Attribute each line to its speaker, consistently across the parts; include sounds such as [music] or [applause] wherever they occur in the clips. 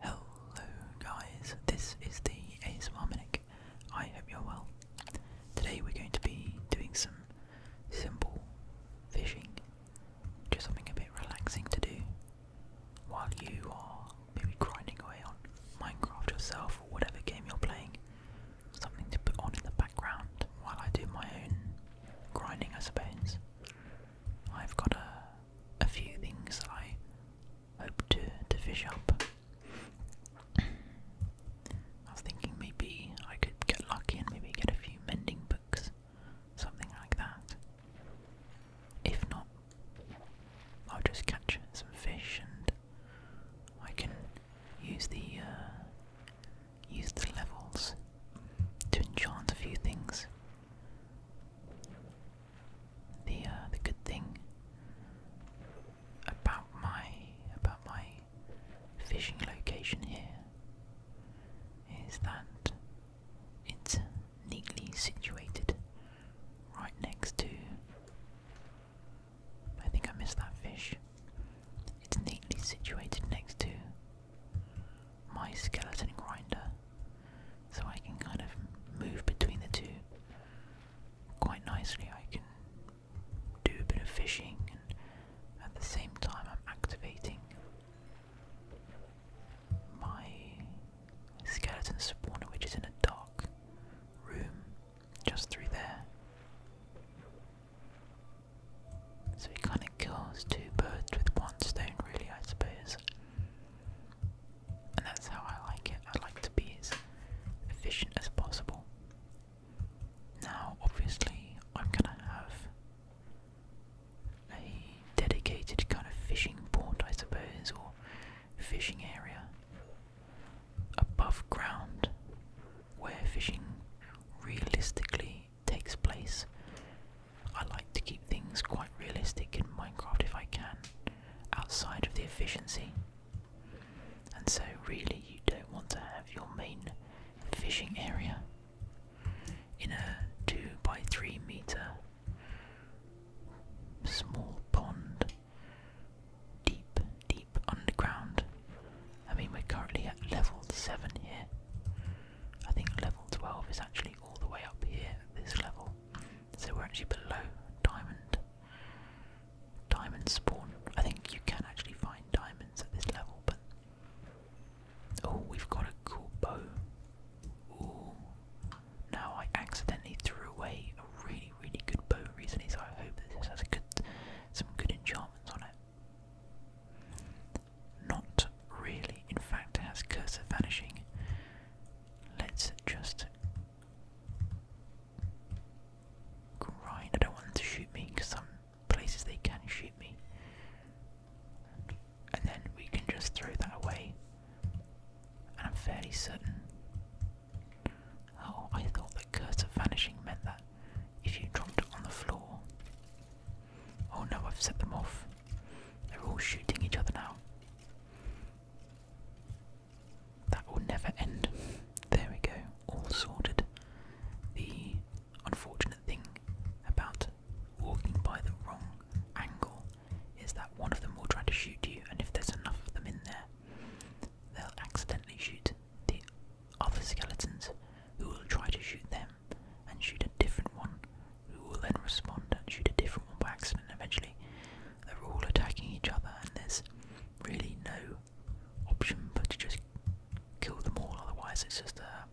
Speaker 1: Hello guys, this is the ASMR Minic. I hope you're well. Today we're going to be doing some simple fishing, just something a bit relaxing to do while you are maybe grinding away on Minecraft yourself or whatever game you're playing. Something to put on in the background while I do my own grinding I suppose. I've got a a few things I hope to, to fish up. I was thinking maybe I could get lucky and maybe get a few mending books, something like that. If not, I'll just catch some fish and I can use the uh, use the levels to enchant a few things the uh, the good thing about my about my fishing location here is that it's neatly situated right next to I think I missed that fish. It's neatly situated next to my skeleton grinder so I can kind of move between the two quite nicely. I can do a bit of fishing and at the same time I'm activating my skeleton spawner which is in a dark room just through there. So he kind of kills two birds with one stone, really, I suppose. And that's how I like it. I like to be as efficient as possible. Now, obviously, I'm gonna have a dedicated kind of fishing port, I suppose, or fishing area above ground where fishing realistically takes place I like to keep things quite realistic in Minecraft if I can, outside of the efficiency. And so, really, you don't want to have your main fishing area in a 2 by 3 meter small pond, deep, deep underground. I mean, we're currently at level 7 here. I think level 12 is actually all the way up here at this level. So we're actually below diamond. Diamond spawn. I think you can actually find diamonds at this level, but oh, we've got a cool bow. Ooh, now I accidentally threw away a really, really good bow recently, so I hope this has some good enchantments on it. Not really. In fact, it has cursor vanishing. Let's just grind. I don't want them to shoot me because some places they can shoot me. And then we can just throw that away. And I'm fairly certain. Oh, I thought that cursor vanishing meant that if you dropped it on the floor, Oh no, I've set them off. They're all shooting each other now. That will never end. There we go, all sorted. The unfortunate thing about walking by the wrong angle is that one of them will try to shoot you, and if there's enough of them in there, they'll accidentally shoot the other skeletons who will try to shoot them, and shoot a different one, who will then respond and shoot a different one by accident. Eventually, they're all attacking each other, and there's really no option but to just kill them all. Otherwise, it's just a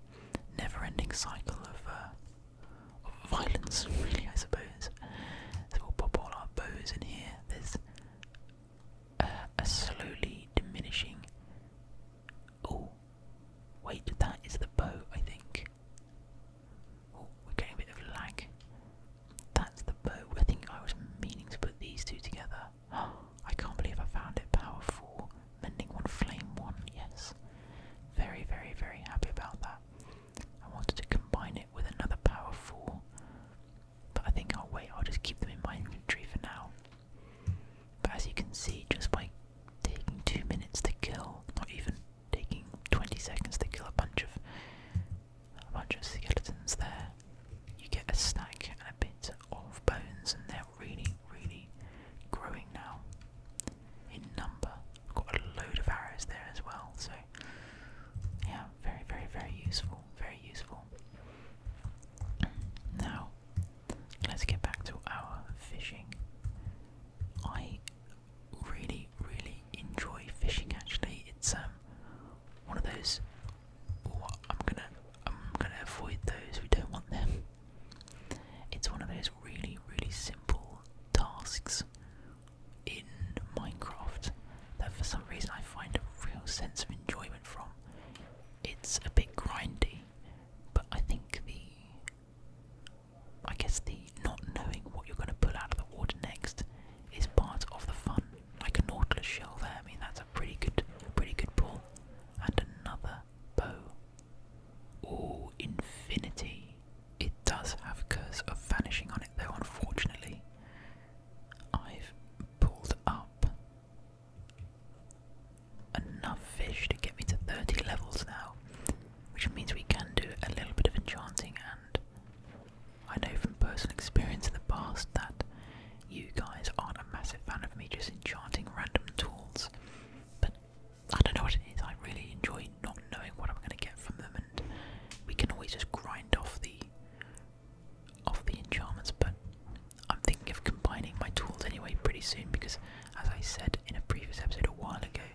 Speaker 1: never-ending cycle of, uh, violence, really. I suppose. So we'll pop all our bows in here. There's a slowly diminishing. Oh, Wait, that is the bow, I think. Oh, we're getting a bit of lag. That's the bow. I think I was meaning to put these two together. [gasps] I can't believe I found it. Power 4, mending 1, flame 1, yes. Very, very, very happy about that. I wanted to combine it with another power 4, but I think I'll wait. I'll just keep them in my inventory for now. But as you can see, just by taking two minutes to kill, not even taking 20 seconds to kill a bunch of a bunch of skeletons there. You get a snack and a bit of bones, and they're really, really growing now in number. got a load of arrows there as well, so yeah, very, very, very useful. Very useful. Now, let's get back to our fishing. I really, really enjoy fishing. Actually, it's um one of those. I'm gonna, I'm gonna avoid those. We don't want them. It's one of those really, really simple tasks in Minecraft that, for some reason, I find a real sense of enjoyment from. It's a bit grindy, but I think the I guess the not knowing what you're going to pull out of the water next is part of the fun. Like a nautilus shell there, I mean that's a pretty good, pretty good pull. And another bow. Oh, infinity! It does have curse of vanishing on it though. Unfortunately, I've pulled up enough fish to get me to 30 levels now, which means we can do a little bit of enchanting. And I know from personal experience in the past that you guys aren't a massive fan of me just enchanting random tools, but I don't know what it is. I really enjoy not knowing what I'm going to get from them, and we can always just grind off the off the enchantments. But I'm thinking of combining my tools anyway pretty soon because as I said in a previous episode a while ago,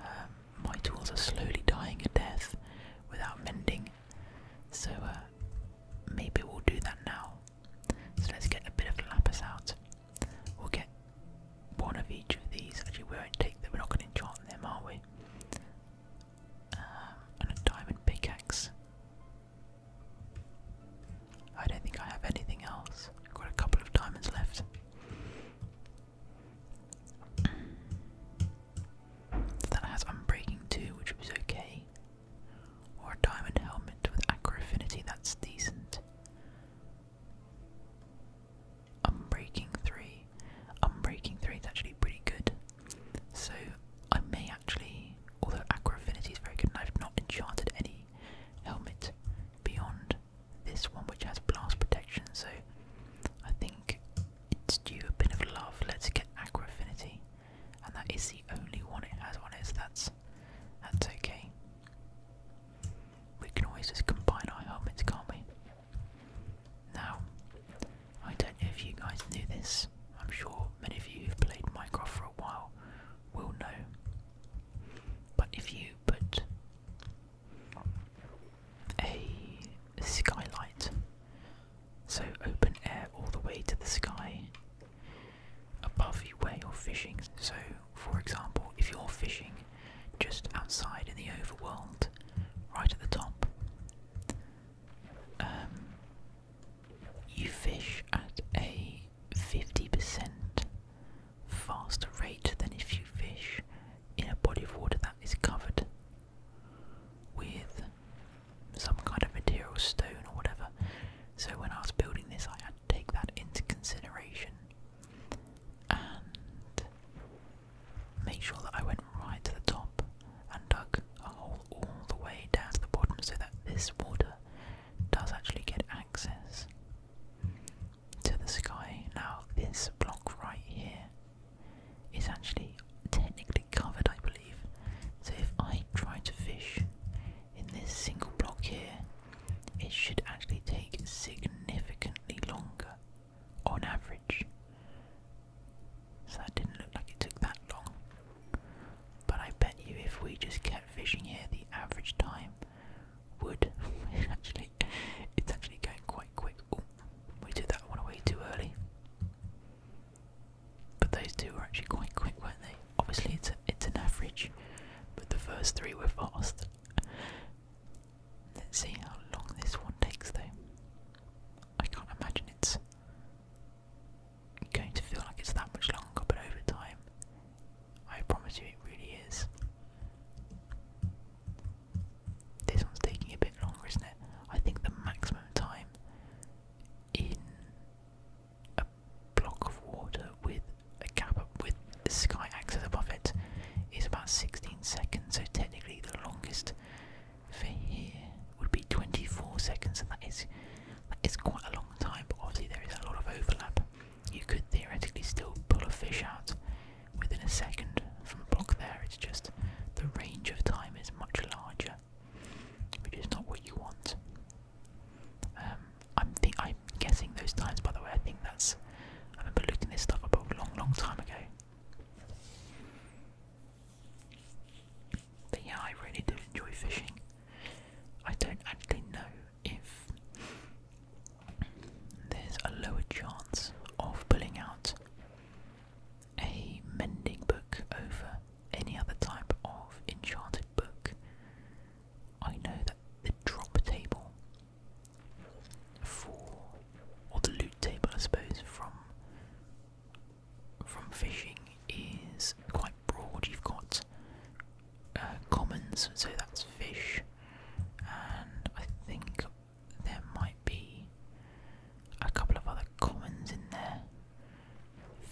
Speaker 1: um, my tools are slowly dying a death without mending, so uh, maybe we'll do that now. So let's get a bit of lapis out. We'll get one of each of these. Actually, we won't take them. We're not going to enchant them, are we? Um, and a diamond pickaxe. I don't think I have anything else. I've got a couple of diamonds left. that has Unbreaking 2, which was okay. Or a diamond helmet with Acro Affinity, that's decent. Unbreaking 3. Unbreaking 3 is actually pretty good. So I may actually, although Acro Affinity is very good, I've not enchanted any helmet beyond this one, which has blast protection. So I think it's due a bit of love. Let's get Aqua Affinity, and that is the only one it has on is that's that's okay. We can always just combine our helmets, can't we? Now, I don't know if you guys knew this. I'm sure many of you who've played Minecraft for a while will know. But if you but a skylight. So open air all the way to the sky above you where you're fishing. So, for example, if you're fishing just outside in the overworld, right at the top, um, you fish at a 50% faster rate than if you fish in a body of water that is covered with some kind of material, stone or whatever. So when I was building this, I had to take that into consideration and make sure that I went right to the top and dug a hole all the way down to the bottom so that this water does actually get access to the sky. Now, this block right here is actually technically covered, I believe. So, if I try to fish in this single block here, it should actually take significantly longer on average. So, that didn't look like it took that long. But I bet you if we just kept fishing here, the average time wood. [laughs] actually, it's actually going quite quick. we did that one away too early. But those two were actually quite quick, weren't they? Obviously, it's it's an average, but the first three were fast. Let's see how long this one takes, though. I can't imagine it's going to feel like it's that much longer, but over time, I promise you, it really is. This one's taking a bit longer, isn't it? I think the maximum time in a block of water with a gap up with sky access above it is about 16 seconds, so technically the longest for here would be 24 seconds, and that is that is quite a long time. But obviously there is a lot of overlap you could theoretically still pull a fish out within a second from a block there. It's just the range of time is much larger, which is not what you want. Um, I'm I'm guessing those times. By the way, I think that's. I remember looking this stuff up a long, long time ago. But yeah, I really do enjoy fishing. I don't actually know if there's a lower chance of pulling out a mending book over any other type of enchanted book. I know that the drop table for or the loot table I suppose from from fishing is quite broad. You've got uh, commons, so that's fish, and I think there might be a couple of other commons in there.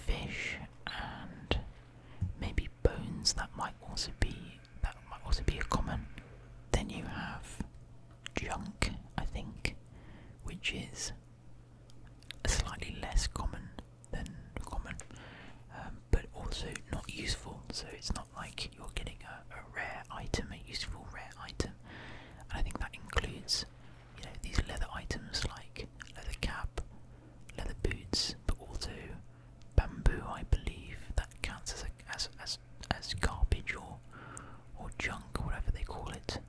Speaker 1: Fish and maybe bones. That might also be that might also be a common. Then you have junk, I think, which is slightly less common than common, um, but also not useful. So it's not like you're getting a, a rare item, a useful rare item. And I think that includes, you know, these leather items like leather cap, leather boots, but also bamboo. I believe that counts as a, as as as garbage or or junk, or whatever they call it.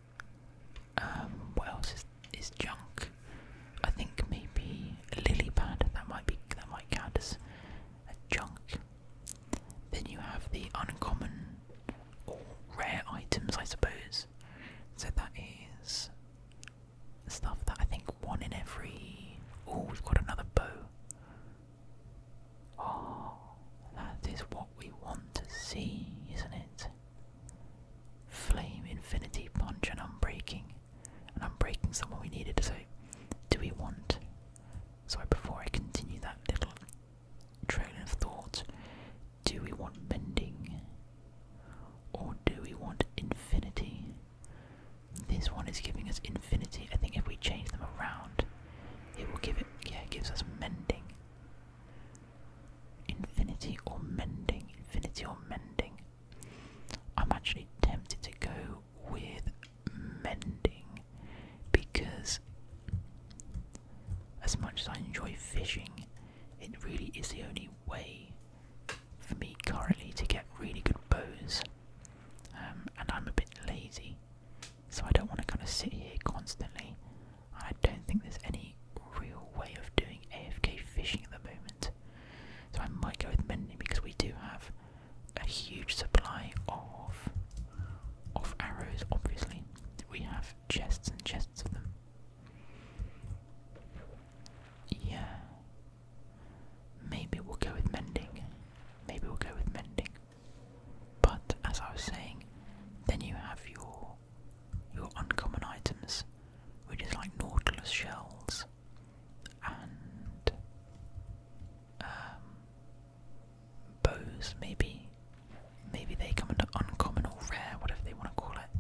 Speaker 1: Um, what else is is junk. I think maybe lily pad that might be that might count as a junk. Then you have the uncommon or rare items, I suppose. So that is stuff that I think one in every. Oh, we've got another bow. Oh, that is what we want to see, isn't it? Flame, infinity, punch, and unbreaking and I'm breaking something we needed, so do we want? Sorry, before I continue that little train of thought, do we want mending? Or do we want infinity? This one is giving us infinity. I think if we change them around, it will give it yeah, gives us mending. Infinity or mending, infinity or mending. I'm actually tempted to go with mending because as much as I enjoy fishing, it really is the only way for me currently to get really good bows. Um, and I'm a bit lazy, so I don't want to kind of sit here constantly. I don't think there's any real way of doing AFK fishing at the moment. So I might go with mending because we do have a huge supply of of arrows, obviously. We have chests and chests of them. Yeah. Maybe we'll go with mending. Maybe we'll go with mending. But as I was saying, then you have your your uncommon items which is like nautilus shells and um, bows, maybe. Maybe they come into uncommon or rare, whatever they want to call it.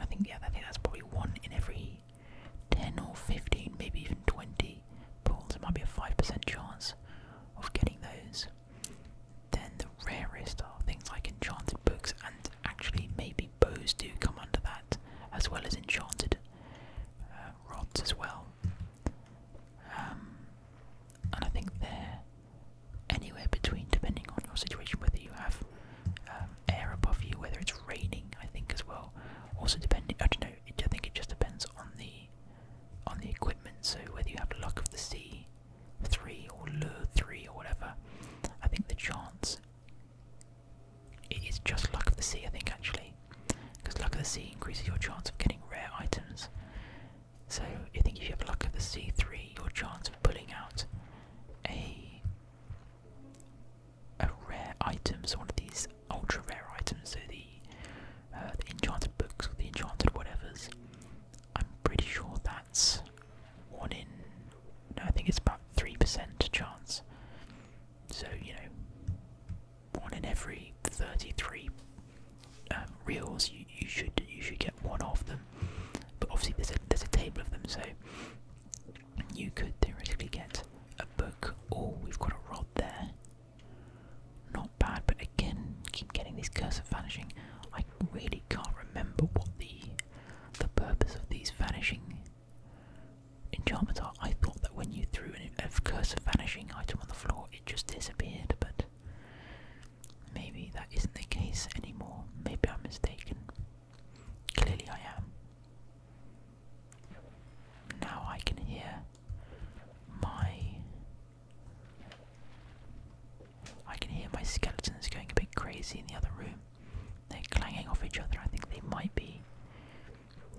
Speaker 1: I think, yeah, I think that's probably one in every 10 or 15, maybe even 20 pulls. It might be a 5% chance of getting those. Then the rarest are things like enchanted books and actually maybe bows do come under that, as well as enchanted uh, rods as well. Um, and I think they're anywhere between, depending on your situation, whether you have um, air above you, whether it's raining, I think as well. Also depending, I don't know. It, I think it just depends on the on the equipment. So whether you have luck of the sea three or lure three or whatever, I think the chance it is just Luck of the Sea, I think, actually, because Luck of the Sea increases your chance of getting rare items. So I think if you have Luck of the Sea 3, your chance of pulling out a a rare item, so one of these ultra rare items, so the, uh, the enchanted books or the enchanted whatevers. I'm pretty sure that's one in no, I think it's about three percent chance. So you know, one in every thirty-three um, reels you, you should you should get one of them. But obviously there's a there's a table of them, so you could theoretically get a book. Oh, we've got a rod there. Not bad, but again, keep getting these cursor vanishing. I really can't remember what the the purpose of these vanishing in Enchanter, I thought that when you threw a curse of vanishing item on the floor, it just disappeared, but maybe that isn't the case anymore. Maybe I'm mistaken. Clearly, I am. Now I can hear my. I can hear my skeletons going a bit crazy in the other room. They're clanging off each other. I think they might be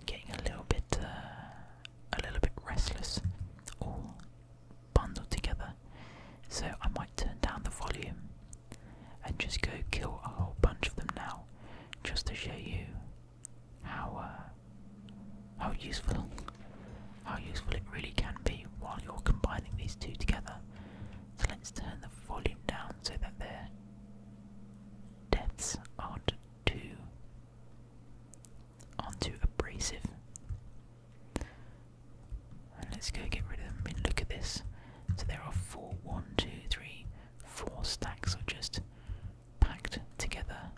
Speaker 1: getting a little bit, uh, a little bit restless, all bundled together. So I might turn down the volume and just go kill a whole bunch of them now, just to show you how uh, how useful how useful it really can be while you're combining these two together. So let's turn the volume down so that their depths aren't too aren't too abrasive. let's go get rid of them. I look at this. So there are four, one, two, three, four stacks of just packed together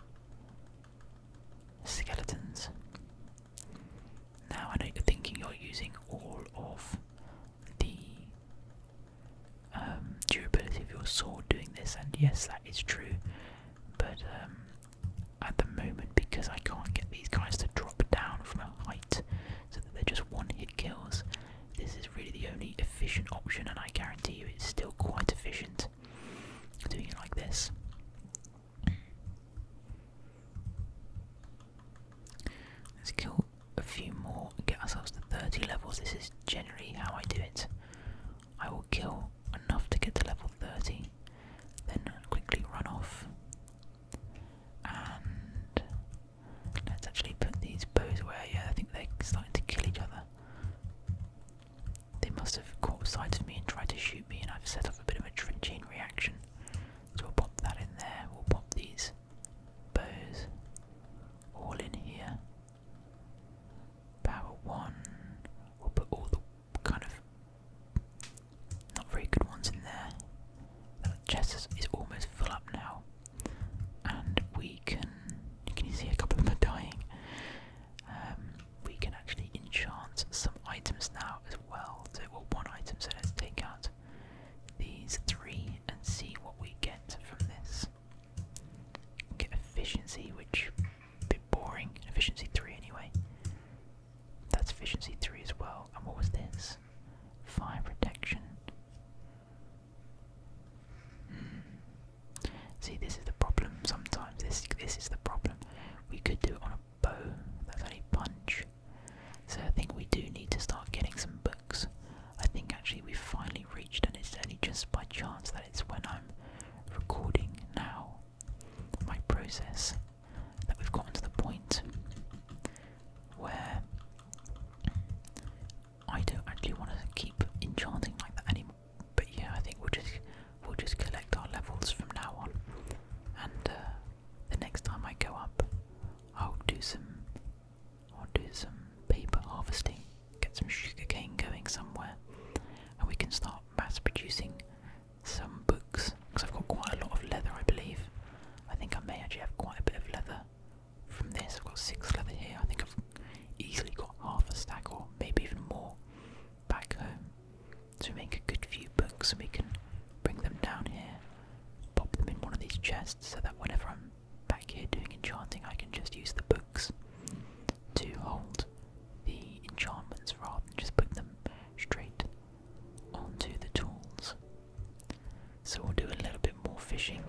Speaker 1: skeletons. Now I know you're thinking you're using all of the um, durability of your sword doing this, and yes, that is true. But um, at the moment, because I can't get these guys to drop down from a height, so that they're just one-hit kills, this is really the only efficient option, and I guarantee you, it's still quite efficient doing it like this. Let's kill a few more, get ourselves to 30 levels. This is generally how I do it. I will kill enough to get to level 30, then quickly run off. And let's actually put these bows away. Yeah, I think they're starting to kill each other. They must have caught sight of me and tried to shoot me, and I've set off a bit of a trenchine reaction. So we'll pop that in there, we'll pop these bows all in here. Power one, we'll put all the kind of not very good ones in there. That uh, chest is, almost full up now, and we can. Can you see a couple of them are dying? Um, we can actually enchant some items now as well. So, well, one item. So let's take out these three and see what we get from this. Get efficiency, which a bit boring. Efficiency three anyway. That's efficiency three as well. And what was this? Fire protection. Hmm. See, this is the problem. Sometimes this this is the problem. We could do it on a bow. That's only punch. So I think we do need to start getting some books. I think actually we've finally reached, and it's only just by chance that it's when I'm recording now my process that we've gotten to the point where I don't actually want to keep enchanting like that anymore. But yeah, I think we'll just we'll just collect our levels from now on, and uh, the next time I go up, I'll do some I'll do some paper harvesting, get some sugarcane going somewhere, and we can start mass producing some books. Because I've got quite a lot of leather, I believe. I think I may actually have quite a bit of leather from this. I've got six leather here. I think I've easily got half a stack or maybe even more back home. to make a good few books and we can bring them down here pop them in one of these chests so that whenever I'm back here doing enchanting, I can just use the books to hold the enchantments rather than just put them straight onto the tools. So we'll do a little bit more fishing.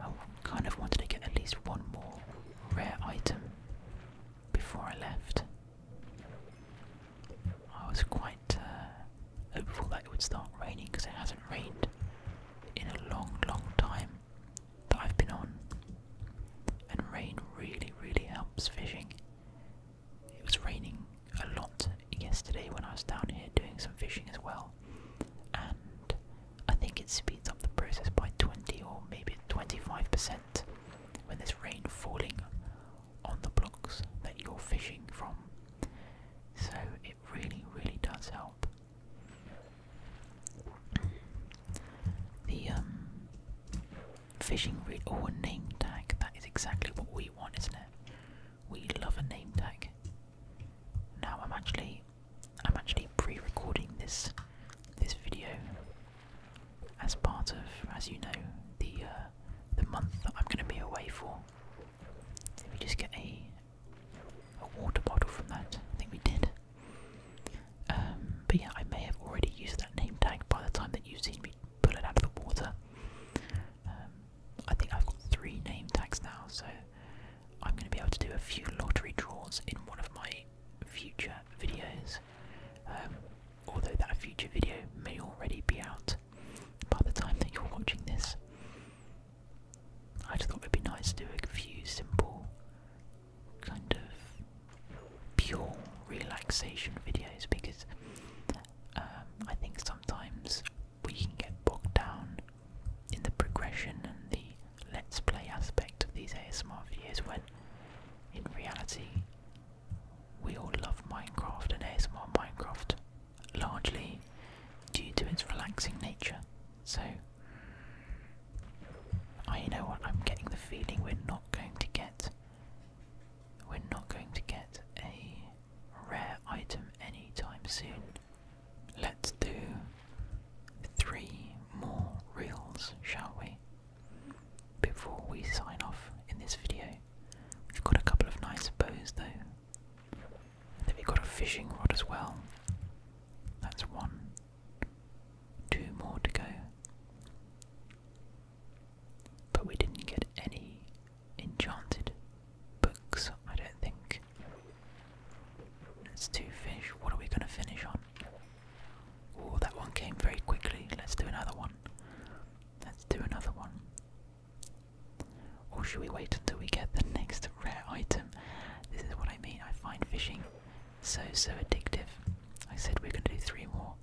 Speaker 1: I kind of wanted to get at least one more rare item before I left. I was quite uh, hopeful that it would start raining because it hasn't rained in a long, long time that I've been on. And rain really, really helps fishing. It was raining a lot yesterday when I was down here doing some fishing as well, and I think it speeds up the process by 20 or maybe 25% when there's rain falling on the blocks that you're fishing from. So it really, really does help. The um, fishing rig or a name tag, that is exactly what we want, isn't it? We love a name tag. Now I'm actually I'm actually pre-recording this this video as part of, as you know, the uh, the month that I'm going to be away for. Did we just get a water bottle from that? I think we did. Um, but yeah, I may have already used that name tag by the time that you've seen me pull it out of the water. Um, I think I've got three name tags now, so I'm going to be able to do a few lottery draws in one of my future videos. Um, although that future video may already be out, by the time that you're watching this. I thought it'd be nice to do a few simple, kind of pure relaxation videos because um, I think sometimes we can get bogged down in the progression and the let's play aspect of these ASMR videos when in reality we all love Minecraft and ASMR Minecraft largely due to its relaxing nature. So, I know what I'm getting the feeling we're not going to get. We're not going to get a rare item anytime soon. Let's do three more reels, shall we? Before we sign off in this video. We've got a couple of nice bows though. I think we've got a fishing rod as well. That's one. Two more to go. But we didn't get any enchanted books, I don't think. Let's do fish. What are we going to finish on? Oh, that one came very quickly. Let's do another one. Let's do another one. Or should we wait until we get the next rare item? This is what I mean, I find fishing so, so addictive. I said we are going to do three more,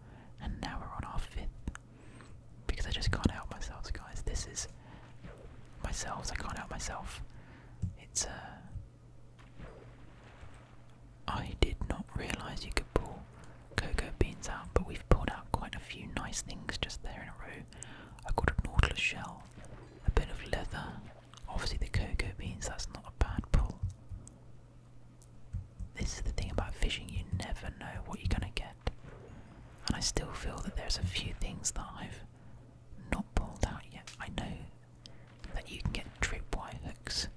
Speaker 1: and now we're on our fifth. Because I just can't help myself, guys. This is. Myself, I can't help myself. It's, uh. I did not realise you could pull cocoa beans out, but we've pulled out quite a few nice things just there in a row. I got a nautilus shell, a bit of leather, obviously the cocoa beans, that's not a bad pull. This is the thing about fishing, you never know what you're gonna get. And I still feel that there's a few things that I've not pulled out yet. I know that you can get tripwire hooks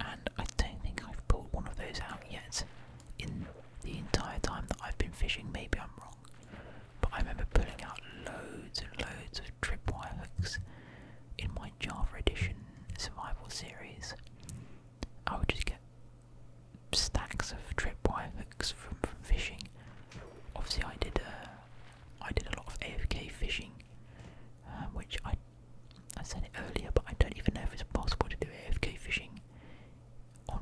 Speaker 1: and I don't think I've pulled one of those out yet in the entire time that I've been fishing. Maybe I'm wrong, but I remember pulling out loads and loads of tripwire hooks in my Java Edition survival series. I would just get stacks of tripwire hooks from, from fishing. Obviously, I did a, uh, I did a lot of AFK fishing, um, which I I said it earlier, but I don't even know if it's possible to do AFK fishing on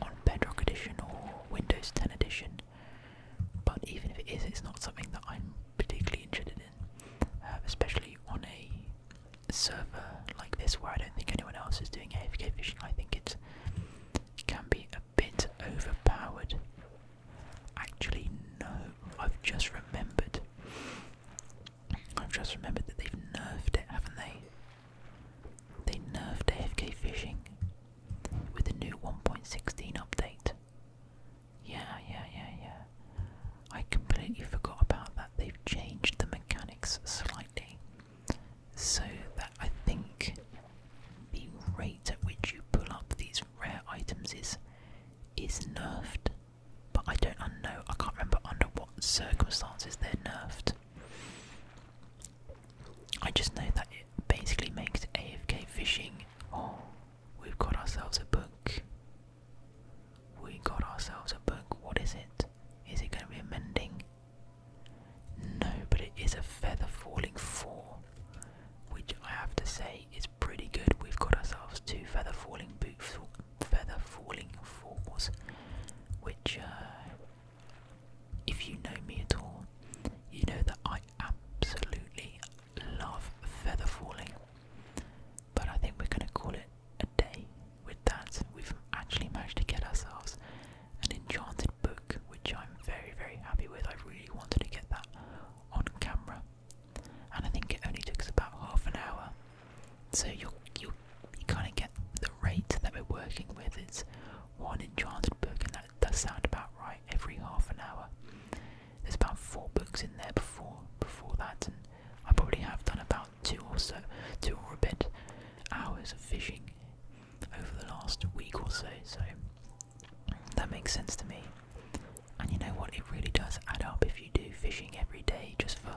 Speaker 1: on Bedrock Edition or Windows 10 Edition. But even if it is, it's not something that I'm particularly interested in, uh, especially on a server like this where I don't think anyone else is doing AFK fishing. I think it can be a bit overpowered. Actually, no, I've just remembered. I've just remembered that they've nerfed it, haven't they? They nerfed AFK fishing with the new 1.16 update. Yeah, yeah, yeah, yeah. I completely forgot about that. They've changed the mechanics slightly so that I think the rate at which you pull up these rare items is is nerfed. But I don't know I can't remember under what circumstances they're nerfed. I just know that it basically makes AFK fishing. Oh, we've got ourselves a book. We got ourselves a book. What is it? Is it going to be a mending? No, but it is a feather falling four, which I have to say is pretty good. We've got ourselves two feather falling boots feather falling falls, which, uh, if you know me at all, you know that I absolutely love feather falling. But I think we're going to call it a day with that. We've actually managed to get ourselves an enchanted book, which I'm very, very happy with. I really wanted to get that on camera and I think it only took about half an hour. So you you you kind of get the rate that we're working with. is one enchanted book, and that does sound about right. Every half an hour, there's about four books in there before before that, and I probably have done about two or so, two or a bit hours of fishing over the last week or so. So that makes sense to me. And you know what? It really does add up if you do fishing every day just for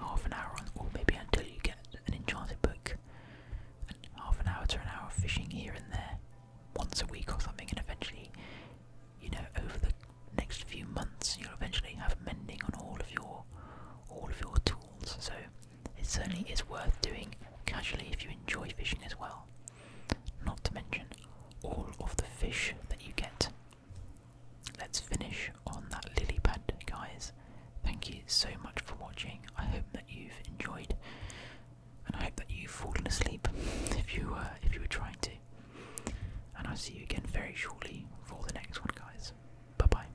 Speaker 1: half an hour, or maybe until you get an enchanted book. And half an hour to an hour of fishing here and there, once a week or something, and eventually, you know, over the next few months, you'll eventually have mending on all of your all of your tools. So it certainly is worth doing casually if you enjoy fishing as well. Not to mention all of the fish that you get Let's finish on that lily pad, guys. Thank you so much for watching. I hope that you've enjoyed, and I hope that you've fallen asleep if you were uh, if you were trying to. And I'll see you again very shortly for the next one, guys. Bye bye.